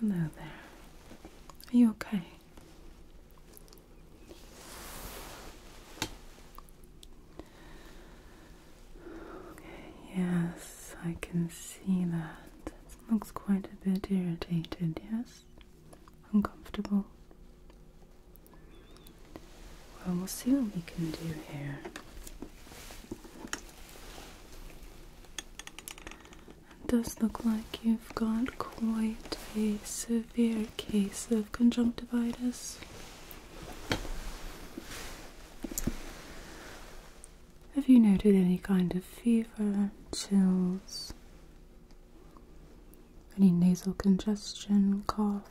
Hello there. Are you okay? yes, I can see that. It looks quite a bit irritated, yes? Uncomfortable. Well, we'll see what we can do here. It does look like you've got quite a severe case of conjunctivitis. Have you noted any kind of fever, chills, any nasal congestion, cough?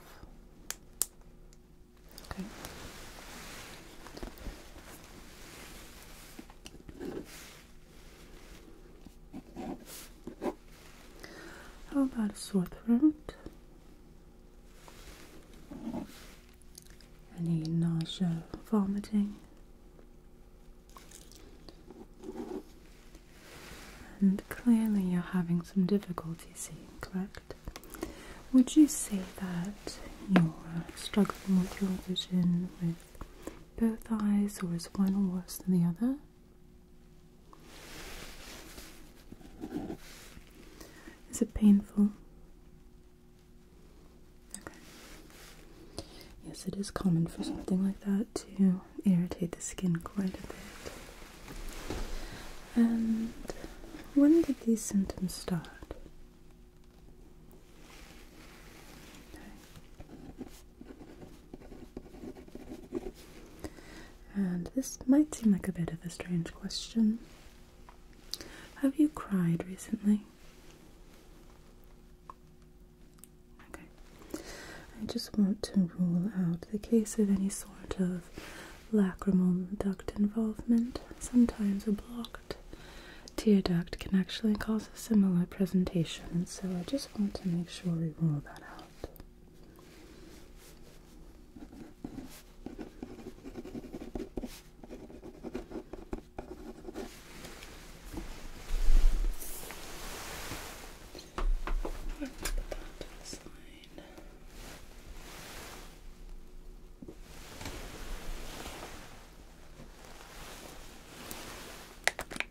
How about a sore throat? Any nausea, vomiting? And clearly you're having some difficulty seeing, correct? Would you say that you're struggling with your vision with both eyes, or is one worse than the other? Is it painful? Yes, it is common for something like that to irritate the skin quite a bit. And when did these symptoms start? And this might seem like a bit of a strange question. Have you cried recently? Okay. I just want to rule out the case of any sort of lacrimal duct involvement. Sometimes a blocked tear duct can actually cause a similar presentation, so I just just want to make sure we rule that out. Let's put that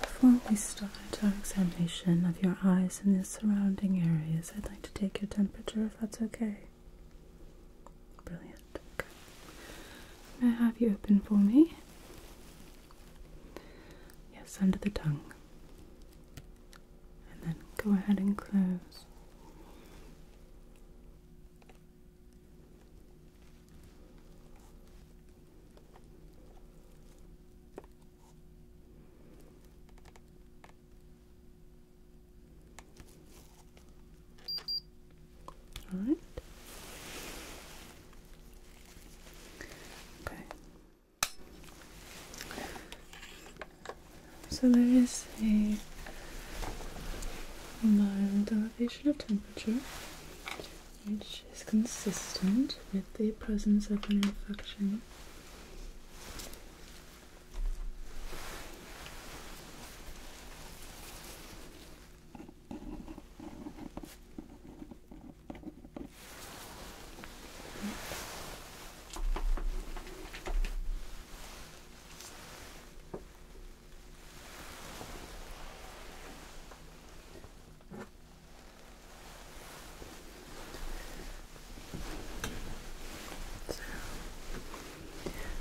before we start our examination of your eyes and the surrounding areas, I'd like to take your temperature if that's okay. Brilliant. May I have you open for me? Yes, under the tongue. And then go ahead and close. All right. Okay. So there is a mild elevation of temperature which is consistent with the presence of an infection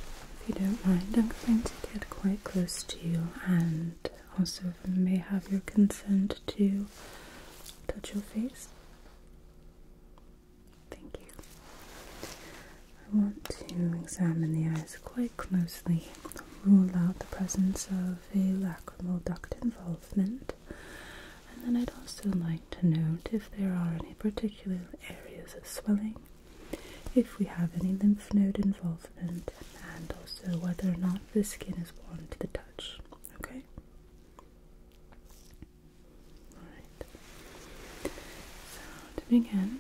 if you don't mind, I'm going to get quite close to you and also may have your consent to touch your face. Thank you. I want to examine the eyes quite closely, rule out the presence of of a lacrimal duct involvement. And then I'd also like to note if there are any particular areas of swelling, if we have any lymph node involvement, and also whether or not the skin is warm to the touch. Okay? Alright. So, to begin.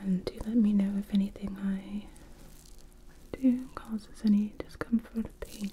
And do let me know if anything I do causes any discomfort or pain.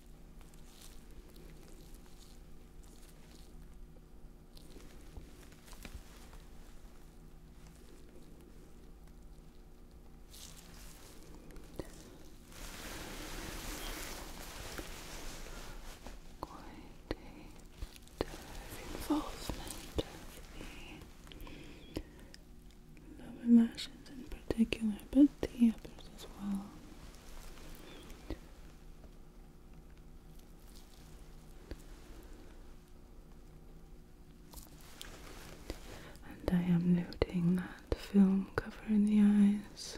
Quite a bit of involvement of the lower lashes in particular, but the others as well. And I am noting that film covering the eyes.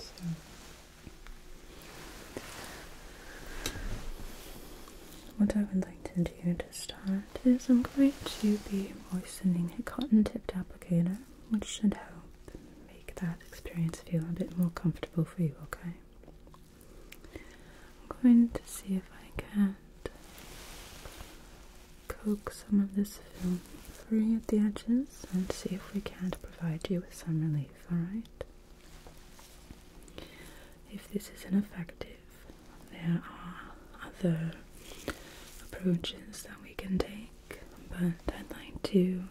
So. What I would like to do to start is I'm going to be moistening a cotton-tipped applicator, which should help make that experience feel a bit more comfortable for you, okay? I'm going to see if I can coax some of this film free at the edges and see if we can't provide you with some relief, alright? If this isn't effective, there are other approaches that we can take, but I'd like to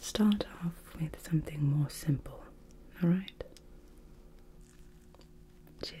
start off with something more simple, alright? Cheers.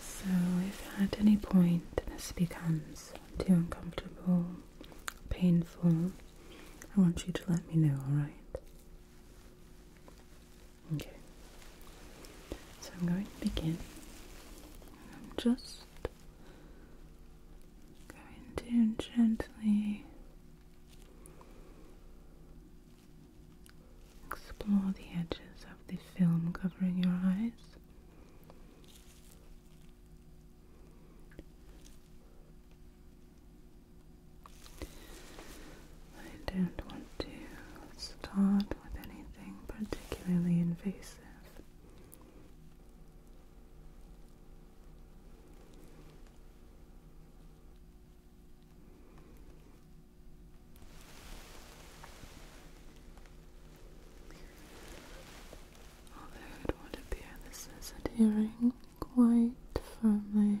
So, if at any point this becomes too uncomfortable, painful, I want you to let me know, alright? Okay. So, I'm going to begin. I'm just going to gently Explore the edges of the film covering your eyes. I don't want to start with anything particularly invasive. Although it would appear this is adhering quite firmly.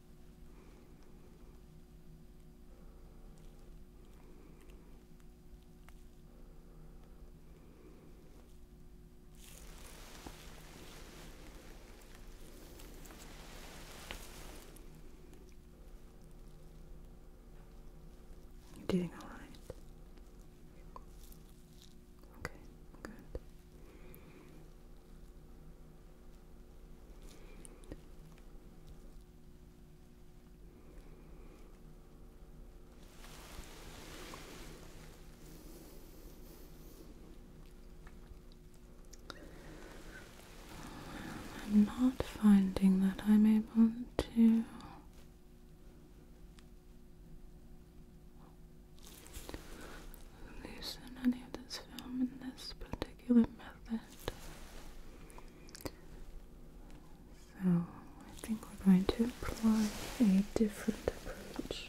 You're doing all right. Okay, good. I'm not finding that I'm able to loosen any of this film in this particular method. So I think we're going to apply a different approach.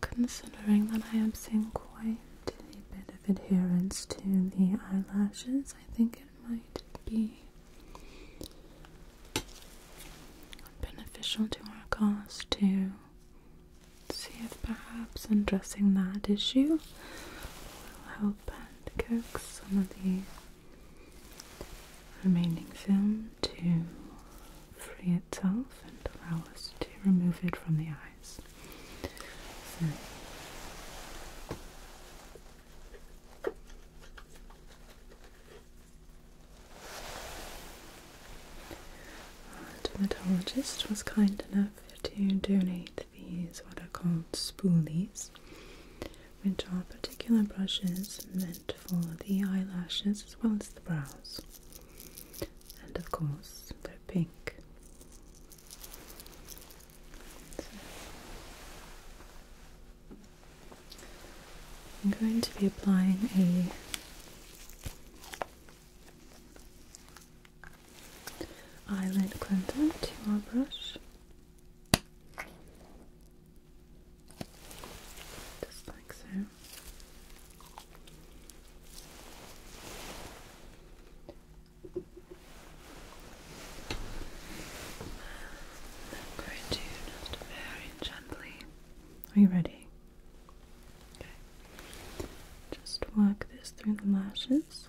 Considering that I am seeing quite a bit of adherence to the eyelashes, I think it might be beneficial to our cause to See if perhaps undressing that issue will help and coax some of the remaining film to free itself and allow us to remove it from the eyes. Hmm. The entomologist was kind enough to donate these what are called spoolies, which are particular brushes meant for the eyelashes as well as the brows. And of course, they're pink. I'm going to be applying a eyelid cleanser to Just like so. I'm going to very gently. Are you ready? Okay. Just work this through the lashes.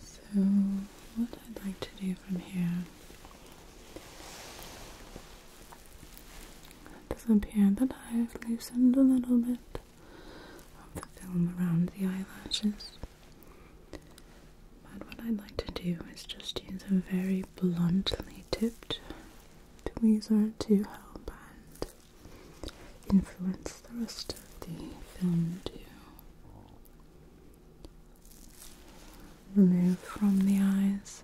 So, what I'd like to do from here. It does appear that I've loosened a little bit of the film around the eyelashes. But what I'd like to do is just use a very bluntly tipped tweezer to help and influence the rest of the film to remove from the eyes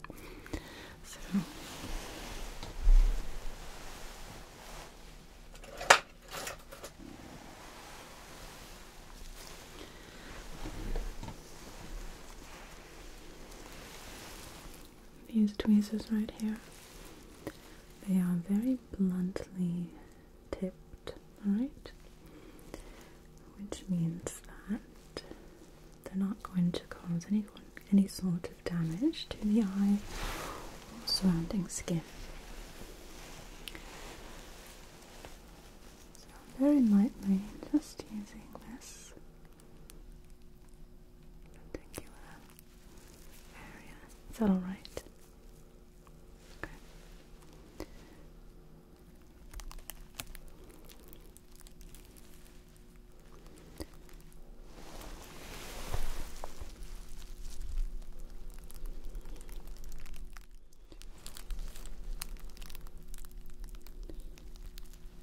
these tweezers right here. They are very bluntly tipped, right Which means that they're not going to cause anyone any sort of damage to the eye or surrounding skin. So very lightly, just using this particular uh, area. Is that alright? Okay.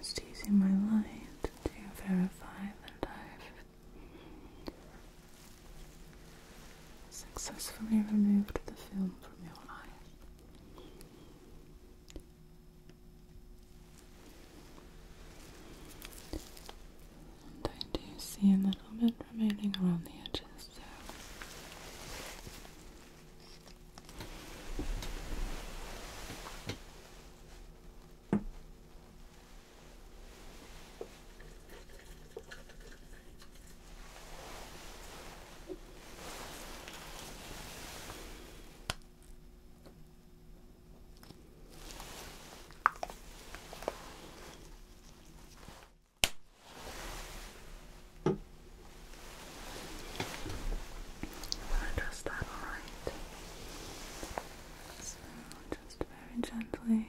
Just using my light to verify that I've successfully removed the film from your eye. I do see a little bit remaining around the edges, so Adjust that all right. So just very gently.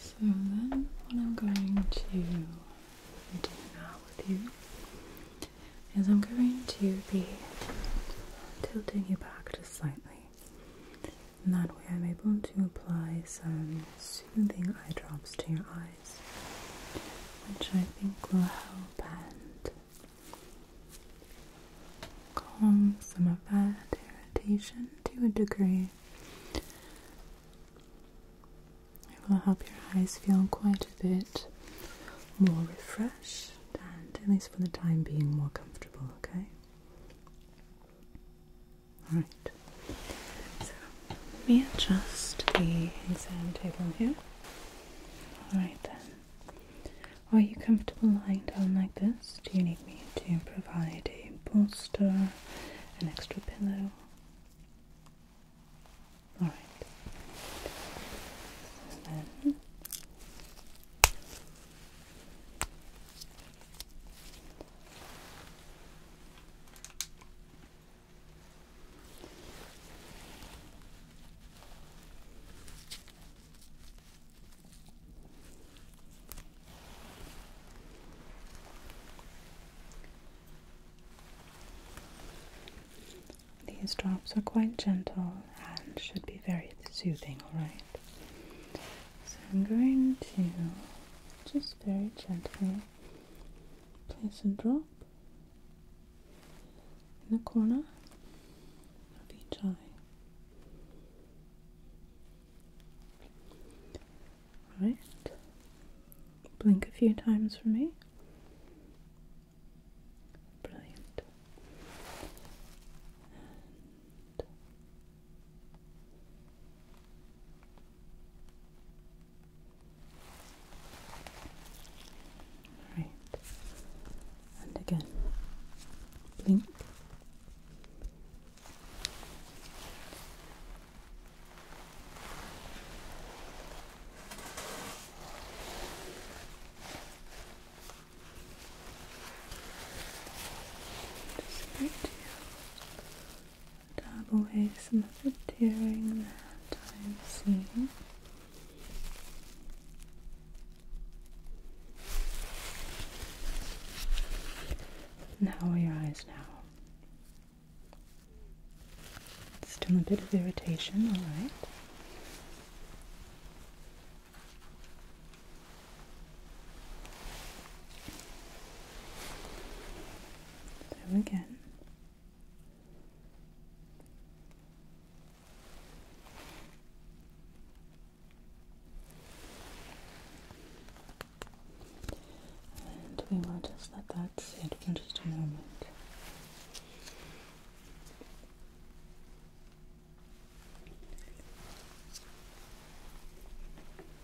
So then what I'm going to do now with you is I'm going to be tilting you back just slightly. And that way I'm able to apply some soothing eye drops to your eyes which I think will help and calm some of that irritation to a degree. It will help your eyes feel quite a bit more refreshed and, at least for the time being, more comfortable, okay? Alright, so let me adjust the exam table here. Alright then, are you comfortable lying down like this? Do you need me to provide a bolster, an extra pillow? Alright, these drops are quite gentle and should be very soothing, alright? So I'm going to just very gently place and drop in the corner of each eye. Alright, blink a few times for me. Brilliant. Right. And again. Blink. Just dab away some of the tearing that i have seen. Now, your eyes now? Still a bit of irritation, alright. So again. And we will just let that sit for just a moment.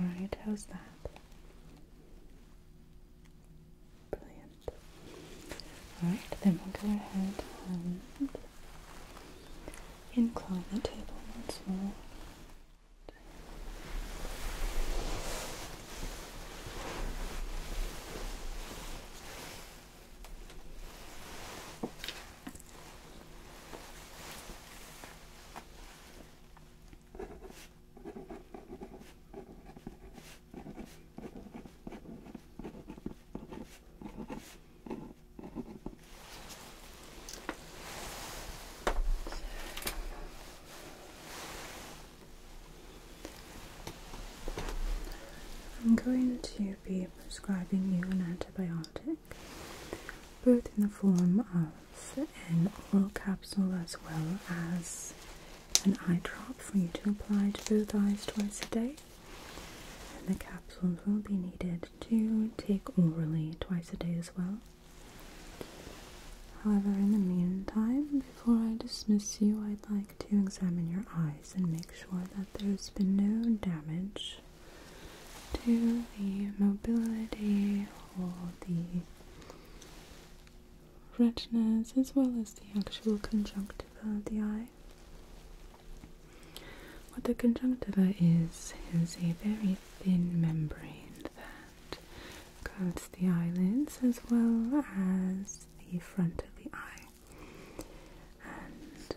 Alright, how's that? Brilliant. Alright, then we'll go ahead and incline the table once more. I'm going to be prescribing you an antibiotic both in the form of an oral capsule as well as an eye drop for you to apply to both eyes twice a day. And the capsules will be needed to take orally twice a day as well. However, in the meantime, before I dismiss you, I'd like to examine your eyes and make sure that there's been no damage to the mobility or the retinas as well as the actual conjunctiva of the eye. What the conjunctiva is, is a very thin membrane that coats the eyelids as well as the front of the eye and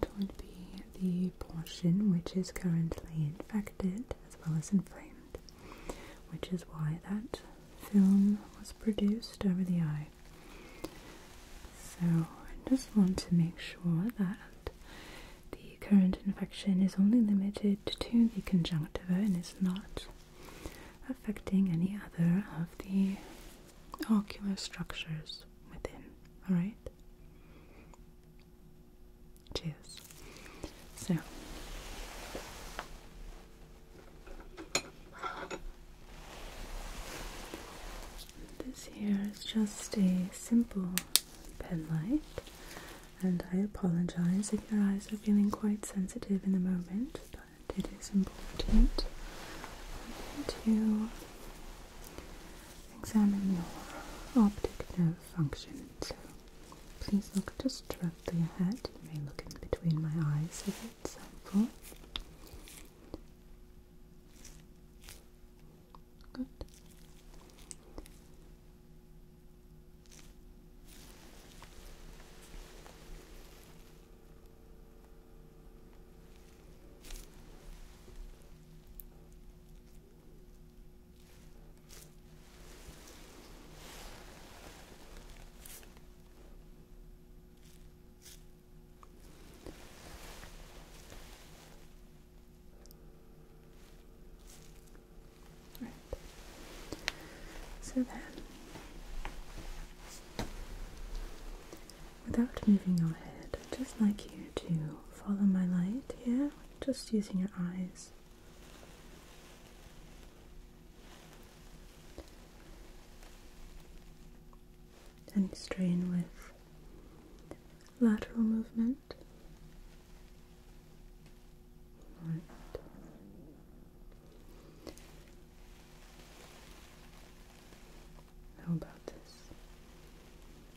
that would be the portion which is currently infected as well as inflamed, which is why that film was produced over the eye. So I just want to make sure that the current infection is only limited to the conjunctiva and is not affecting any other of the ocular structures within. Alright? Cheers. So. This here is just a simple pen light, and I apologize if your eyes are feeling quite sensitive in the moment, but it is important to examine your optic nerve function. So please look just directly ahead. You may look in between my eyes if it's helpful. Good. Right. So then without moving your head, I'd just like you to follow my light here, just using your eyes. And strain with lateral movement. Right. How about this?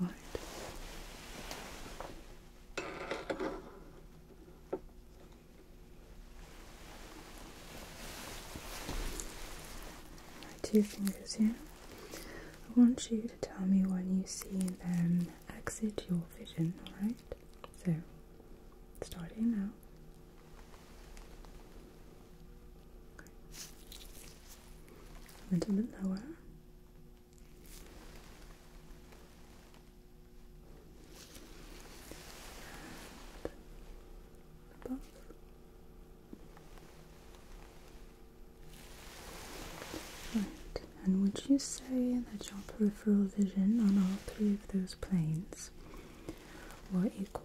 All right. My two fingers here. I want you to tell me when you see them exit your vision, alright? So, starting now a little bit lower. And Right, and would you say that your peripheral vision on all three of those planes were equal?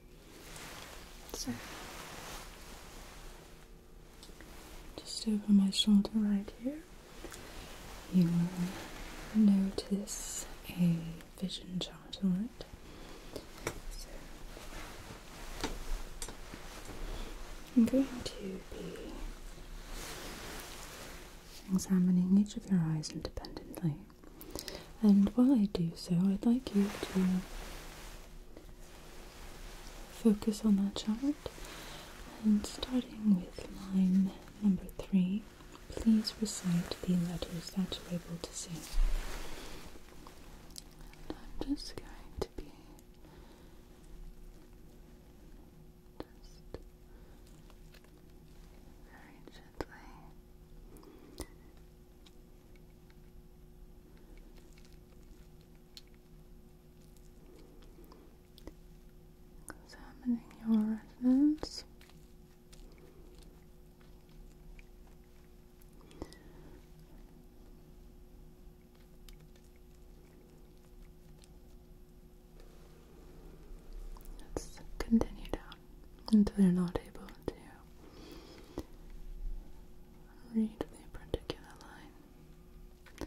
So, just over my shoulder right here, you will notice a vision chart on it. So, I'm going to be examining each of your eyes independently. And while I do so, I'd like you to focus on that chart. And starting with line number three, please recite the letters that you're able to see. I'm just going to be just very gently Examining your retinas. Let's continue down until you're not able to read the particular line.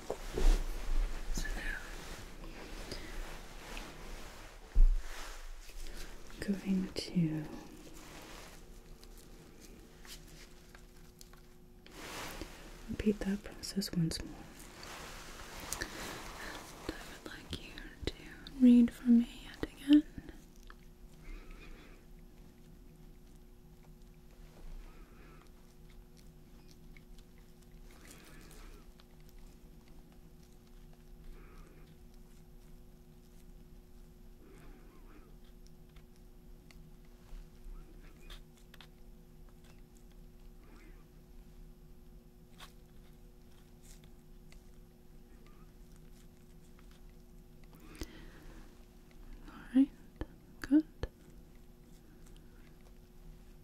So now I'm going to repeat that process once more. would like you to read for me yet again. All right, good.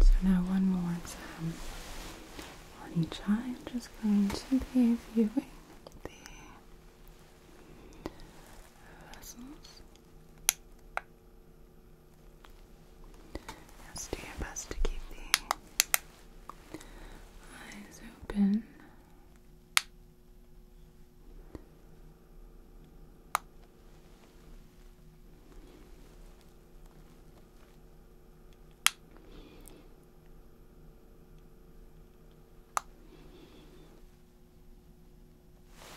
So now one more time. on each just going to be viewing the vessels. Just do your best to keep the eyes open. And the other side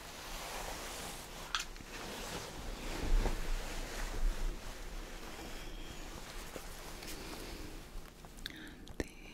here. Okay.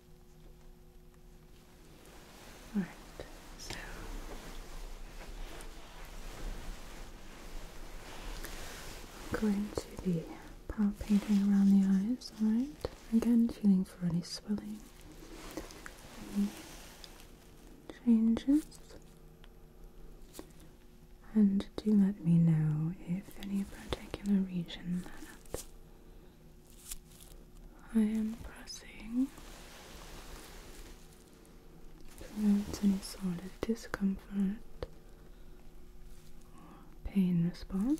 All right, so I'm going to be palpating around the eyes, all right? Again, feeling for any swelling, any changes, and do let me know if any particular region I am pressing prevents any sort of discomfort or pain response.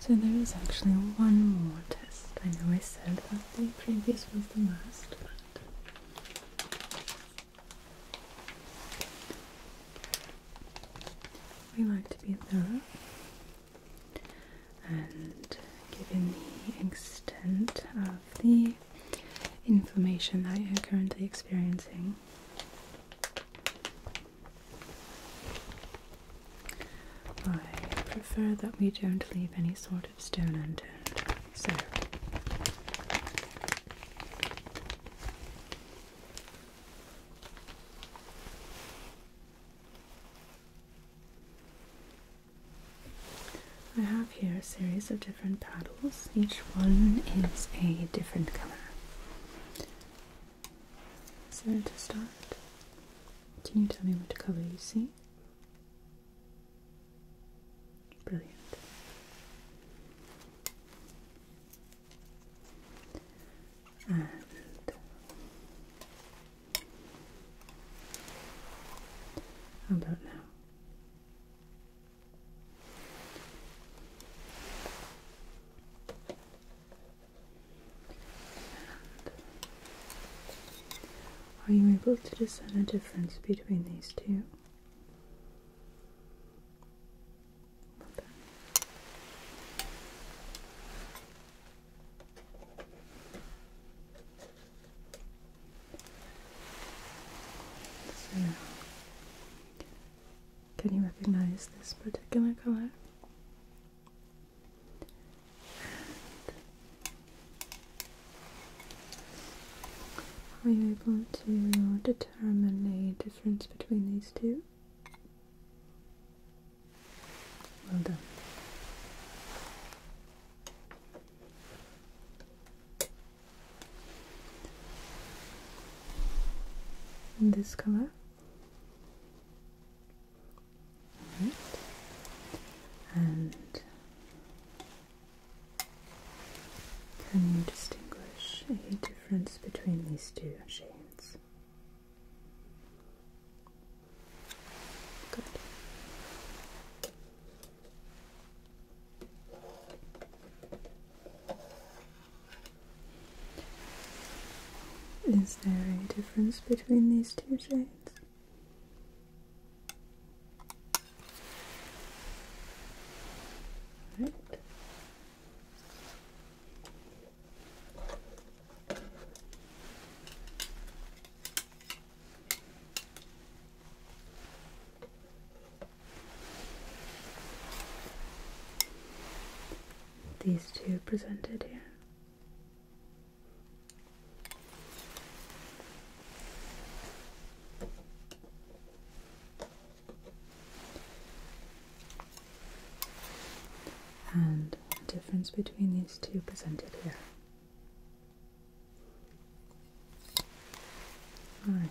So there is actually one more test. I know I said that the previous was the last, but we like to be thorough and given the extent of the inflammation that you're currently experiencing. I prefer that we don't leave any sort of stone unturned. So, I have here a series of different paddles. Each one is a different color. So to start, can you tell me what color you see? Brilliant. And how about now? are you able to discern a difference between these two? can you recognize this particular color? are you able to determine a difference between these two? Well done. And this color. All right. And can you distinguish a difference between these two shades? Is there any difference between these two chains? Right. These two presented here. And difference between these two presented here. Alright.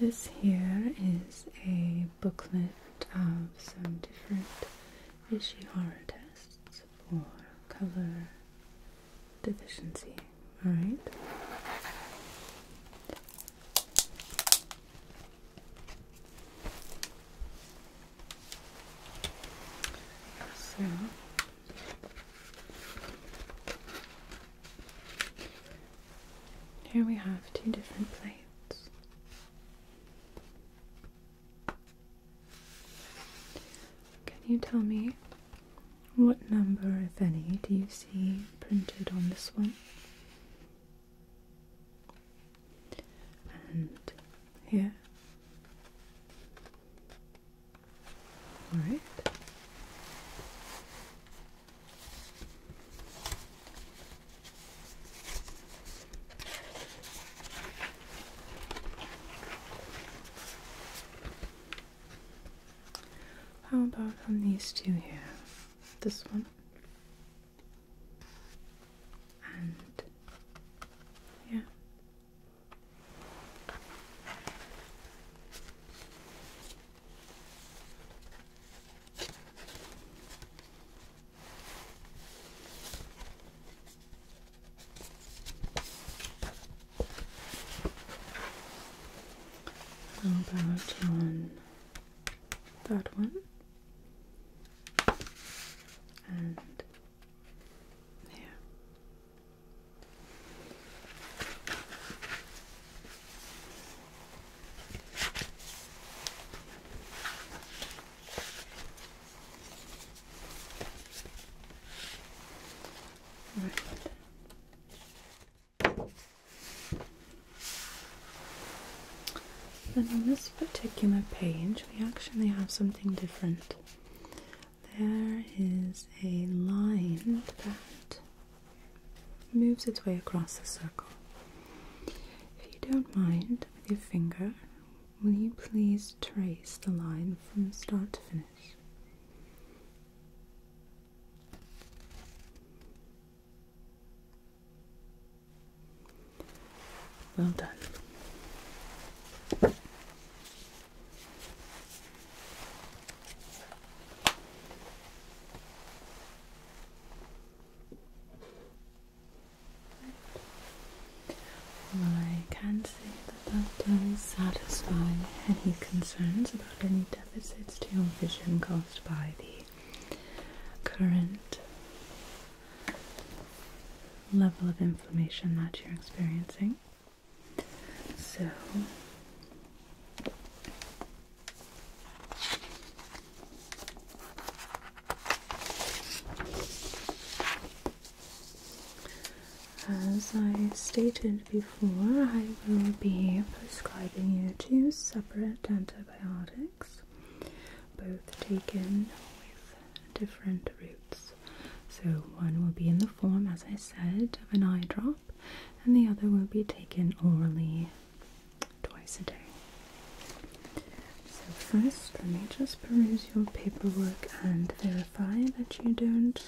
This here is a booklet of some different Ishihara tests for color deficiency. Alright? So here we have two different plates. Can you tell me what number, if any, do you see printed on this one? And here? Alright. How about on these two here? This one and yeah about on that one and there? Then on this particular page, we actually have something different. There is a line that moves its way across the circle. If you don't mind, with your finger, will you please trace the line from start to finish? Well done. I can say that that does satisfy any concerns about any deficits to your vision caused by the current level of inflammation that you're experiencing. So, as I stated before, I will be prescribing you two separate antibiotics, both taken with different routes. So, one will be in the form, as I said, of an eye drop, and the other will be taken orally twice a day. So first, let me just peruse your paperwork and verify that you don't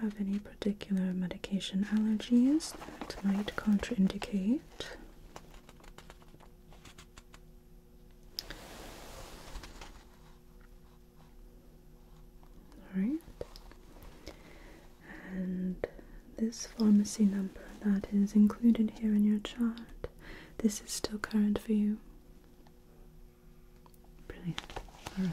have any particular medication allergies that might contraindicate. Alright and this pharmacy number that is included here in your chart, this is still current for you. Brilliant. All right.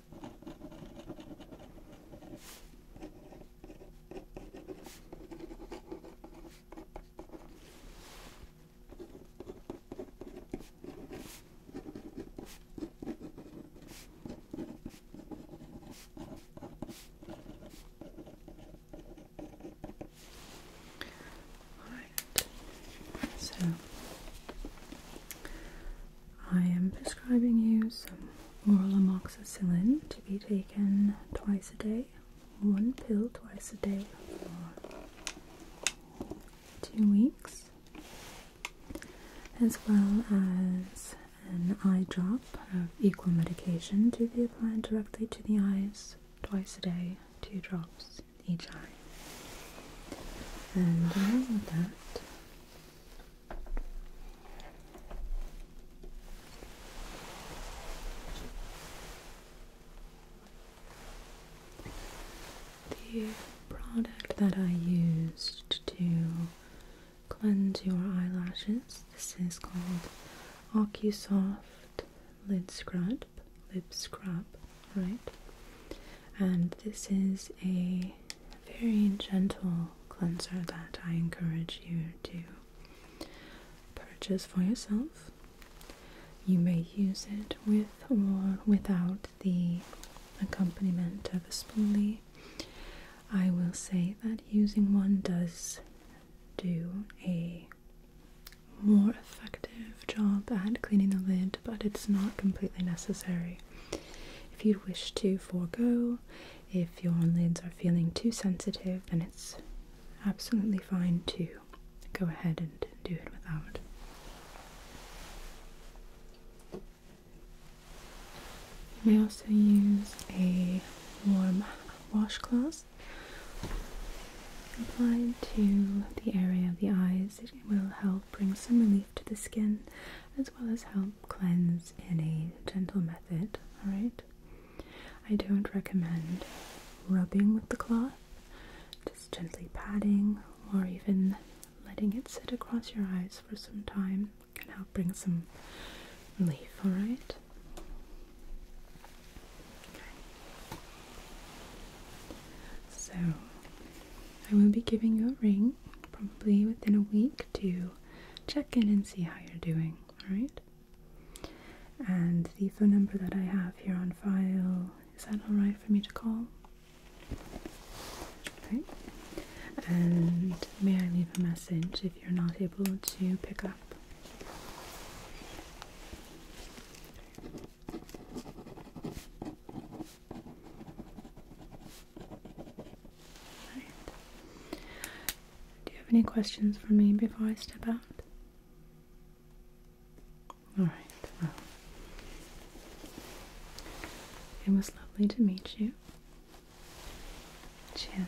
Alright, so I am prescribing you some oral amoxicillin to be taken twice a day, one pill twice a day for two weeks, as well as an eye drop of equal medication to be applied directly to the eyes twice a day, two drops each eye. And along with that, the product that I used to cleanse your eyelashes, this is called OcuSoft Lid Scrub, Lip Scrub, right? And this is a very gentle cleanser that I encourage you to purchase for yourself. You may use it with or without the accompaniment of a spoolie. I will say that using one does do a more effective job at cleaning the lid, but it's not completely necessary. If you wish to forego, if your lids are feeling too sensitive, then it's absolutely fine to go ahead and do it without. You may also use a warm washcloth applied to the area of the eyes. It will help bring some relief to the skin as well as help cleanse in a gentle method. Alright? I don't recommend rubbing with the cloth, just gently patting or even letting it sit across your eyes for some time can help bring some relief. Alright? So, I will be giving you a ring probably within a week to check in and see how you're doing, alright? And the phone number that I have here on file, is that alright for me to call? Okay. And may I leave a message if you're not able to pick up? Do you have any questions for me before I step out? Alright, well, it was lovely to meet you. Cheers.